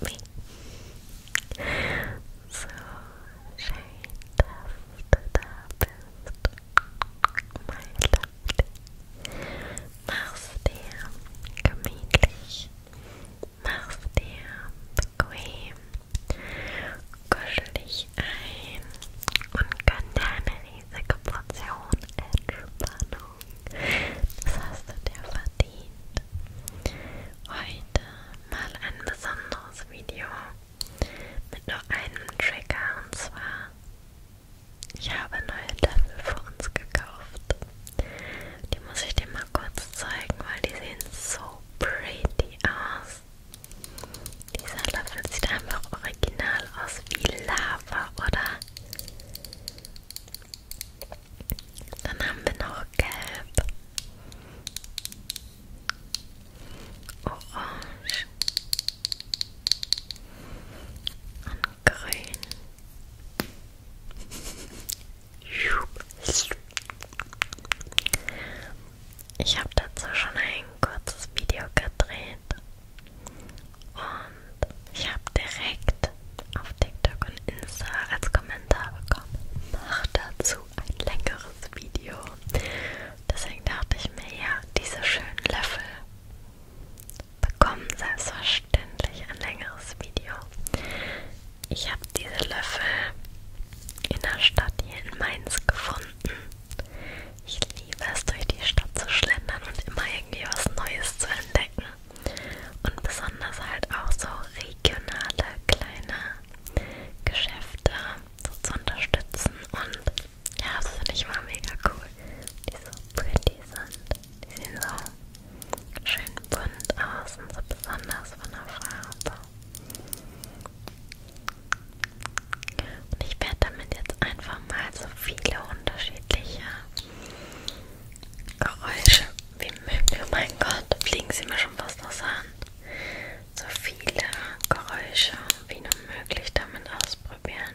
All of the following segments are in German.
me. So schön, dass du da bist, mein Liebling. Mach's dir gemütlich, mach's dir bequem, kuschel dich ein und gönn dir eine riesige Portion Entspannung. Das hast du dir verdient. Heute mal ein besonderes Video mit nur einem Trigger und zwar ich habe neue Löffel für uns gekauft. Die muss ich dir mal kurz zeigen, weil die sehen so pretty aus. Dieser Löffel sieht einfach original aus wie Lava, oder? Dann haben wir noch Gelb, Orange und Grün. Ich habe dazu schon ein kurzes Video gedreht. Und ich habe direkt auf TikTok und Insta als Kommentar bekommen. Mach dazu ein längeres Video. Deswegen dachte ich mir, ja, diese schönen Löffel bekommen selbstverständlich ein längeres Video. Ich habe diese Löffel in der Stadt hier in Mainz gefunden. Ich liebe es, durch die Stadt zu schlendern und immer irgendwie was Neues zu entdecken. Und besonders halt auch so regionale kleine Geschäfte so zu unterstützen. Und ja, das finde ich mal mega cool. Die so pretty sind. Die sehen so schön bunt aus und so besonders von der Farbe. Und ich werde damit jetzt einfach mal so viele unterschiedliche Geräusche wie Mücken. Oh mein Gott, fliegen sie mir schon fast was an. So viele Geräusche wie nur möglich damit ausprobieren.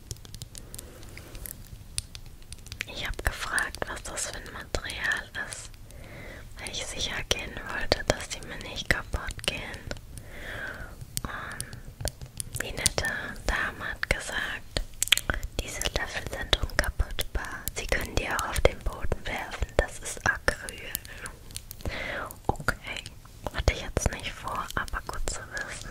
Ich habe gefragt, was das für ein Material ist, weil ich sicher gehen wollte, dass die mir nicht kaputt gehen. Und die nette Dame hat gesagt, diese Löffel sind unkaputtbar. Sie können die auch auf den Boden werfen. Das ist Acryl. Okay, hatte ich jetzt nicht vor, aber gut zu wissen.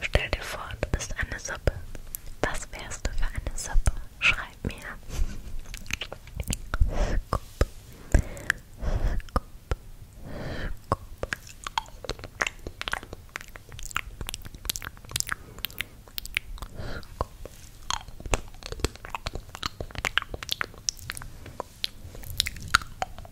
Stell dir vor, du bist eine Suppe. Was wärst du für eine Suppe? Schreib mir. Scoop. Scoop. Scoop. Scoop. Scoop.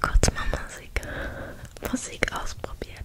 Kurz mal Musik, Musik ausprobiert.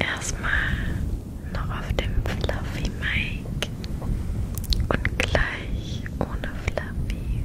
Erstmal noch auf dem Fluffy Mic und gleich ohne Fluffy.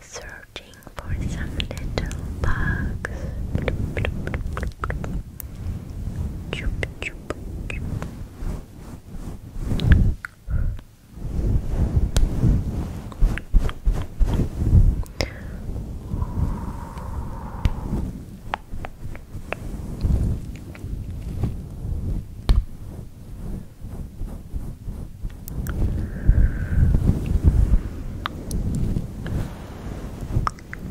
searching for some little bugs.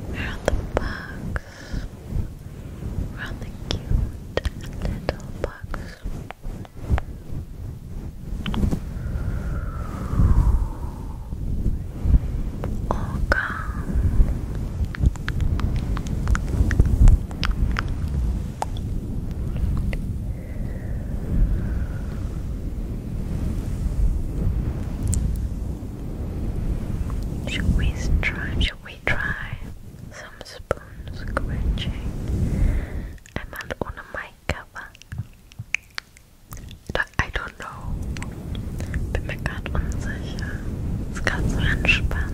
Where the bugs? Where the cute little bugs? Oh, god. Should we try? Should we try some spoon scratching? I'm not on a mic cover. I don't know. Bin mir gerade unsicher. Ist gerade so entspannt.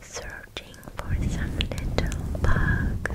Searching for some little bugs.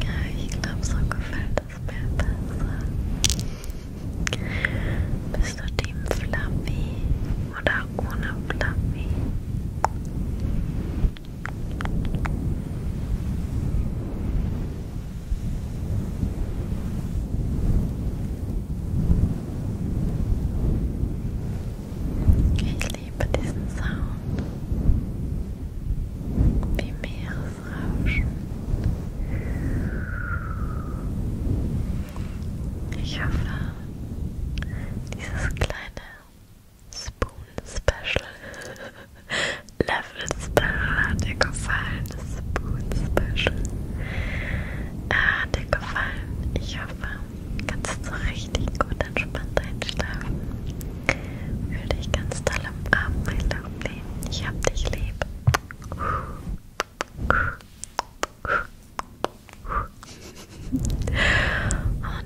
Ja, ich glaube, so gefällt es mir besser. Bist du Team Fluffy oder ohne Fluffy? Ich liebe diesen Sound. Wie Meeresrauschen das Rauschen. Ich hoffe, dieses kleine Spoon-Special, Level-Special hat dir gefallen. Das Spoon-Special äh, hat dir gefallen. Ich hoffe, kannst du richtig gut entspannt einschlafen. Fühl dich ganz toll am Abend, mein Lovely. Ich hab dich lieb. On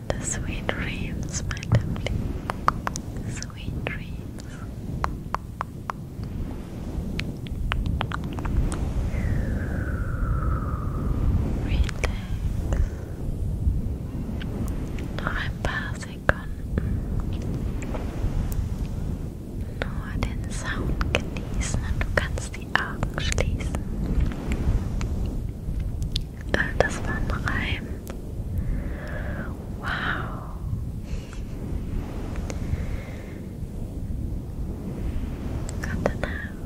the sweet dreams, my darling. Sweet dreams. Relax. i passing Sekunden nur den Sound genießen und du kannst die Augen schließen. Das war ein Reim. Wow. Gute Nacht.